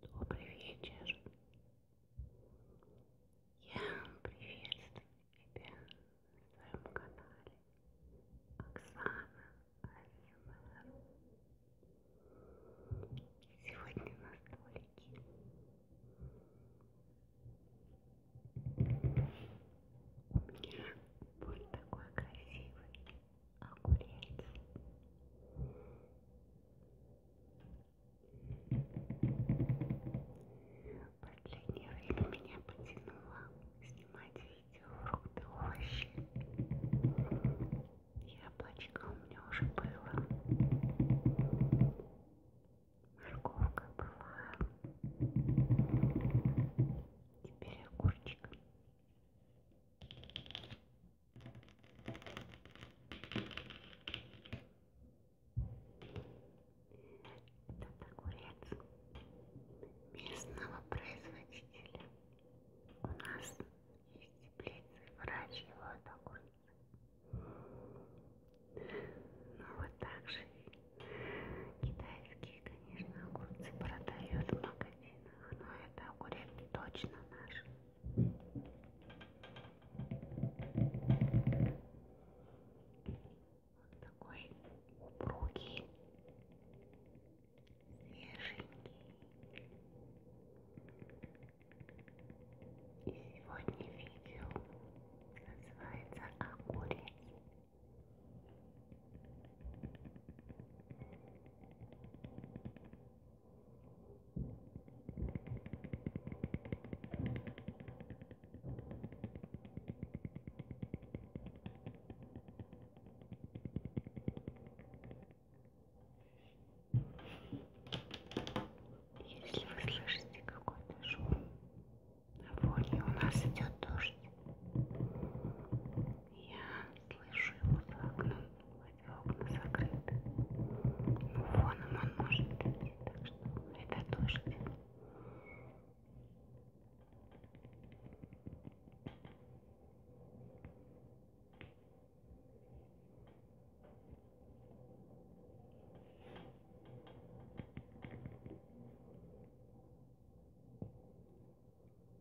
Добрый вечер. Я приветствую тебя на своем канале Оксана АСМР. Сегодня на столике у меня вот такой красивый огурец последнее время меня потянуло снимать видео фрукты, овощи яблочко у меня уже было морковка была теперь огурчик этот огурец местного производителя. У нас есть теплицы, выращивают огурцы. Ну вот так же китайские, конечно, огурцы продают в магазинах но это огурец точно наш. Вот такой упругий, свеженький. И сегодня видео называется «Огурец». Если вы слышите какой-то шум на фоне, у нас идет дождь. Я слышу его за окном, хотя окна закрыты. Но фоном он может идти, так что это дождь.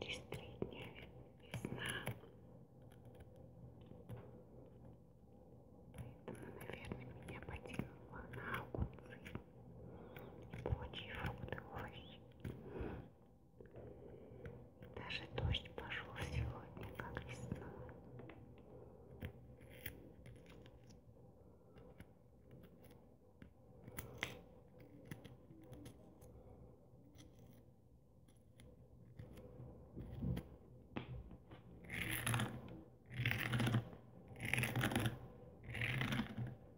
Через три дня весна. Поэтому, наверное, меня потянуло на огурцы. Плоти и фрукты, овощи. Даже дождь пошел сегодня, как весна.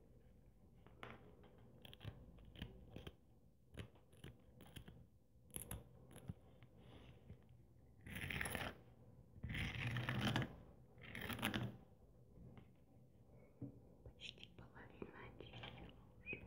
Почти половина очистила уже.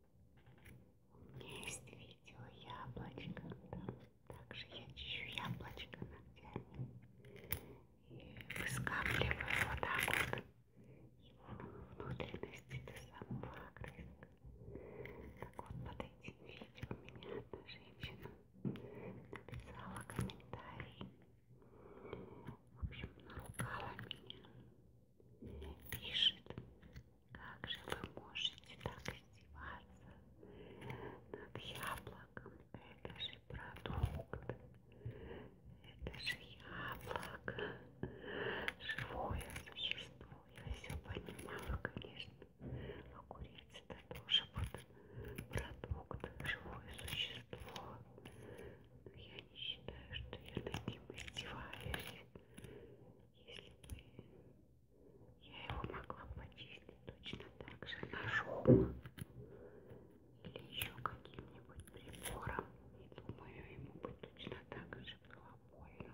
Есть видео яблочко, там также я чищу яблочко ногтями и выскапливаю вот так вот его внутренности до самого огрызка. Так вот под этим видео меня одна женщина написала комментарий. В общем, наругала меня мне пишет, как же вы можете так издеваться над яблоком. Это же продукт, это же яблоко, живое существо. Я все понимаю, конечно. Огурец это тоже вот продукт, живое существо. Но я не считаю, что я над ним издеваюсь. Если бы я его могла почистить точно так же ножом или еще каким-нибудь прибором, и думаю, ему бы точно так же было больно.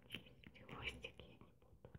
или тебе хвостик я не буду убирать.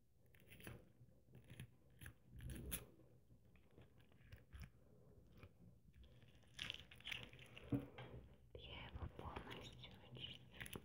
Я его полностью очистила.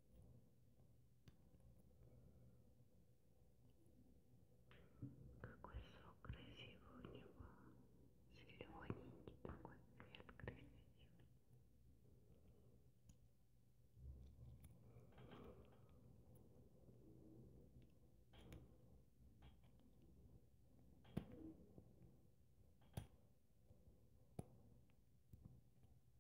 Какой сок красивый у него. Зелененький такой цвет красивый.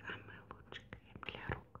Самый лучший крем для рук.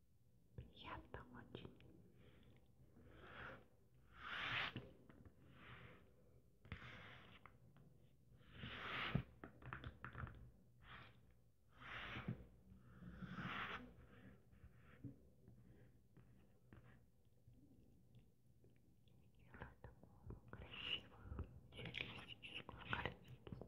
Приятно очень. Делаю такую красивую сюрреалистическую картинку.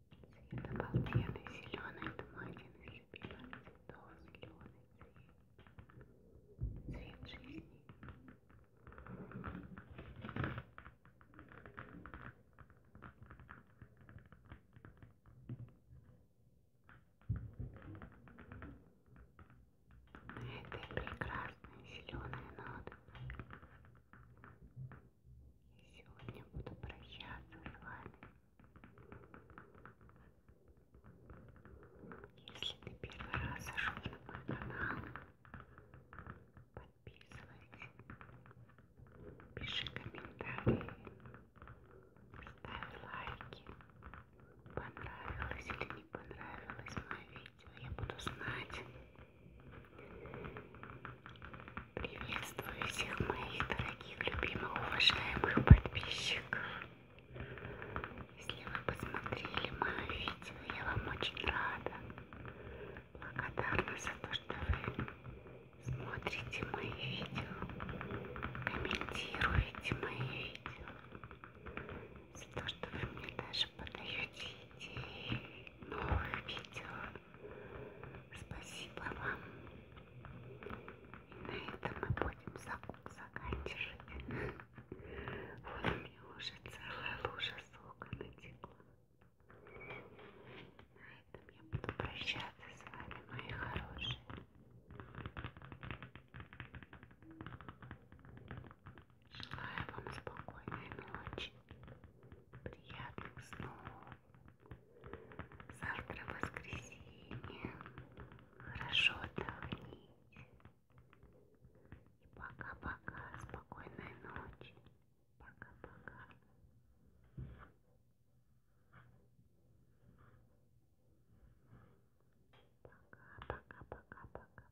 Цвет обалденный, зеленый, это мой один из любимых цветов, зеленый цвет, цвет жизни. На этой прекрасной зеленой ноты. И сегодня буду прощаться с вами. Если ты первый раз зашел на мой канал, подписывайся, пиши комментарии, ставь лайки, понравилось или не понравилось мое видео, я буду знать. Приветствую всех моих дорогих, любимых, уважаемых подписчиков. Если вы посмотрели мое видео, я вам очень рада. Благодарна за то, что вы смотрите мои видео, комментируете мои видео, за то, что вы мне даже подаете идеи новых видео. Спасибо вам. И на этом мы будем заканчивать. Вот у меня уже целая лужа сока натекла. На этом я буду прощаться с вами, мои хорошие. Желаю вам спокойной ночи. Приятных снов. Завтра воскресенье. Хорошо отдохните. И пока-пока. Спокойной ночи. Пока-пока. Пока-пока-пока-пока-пока.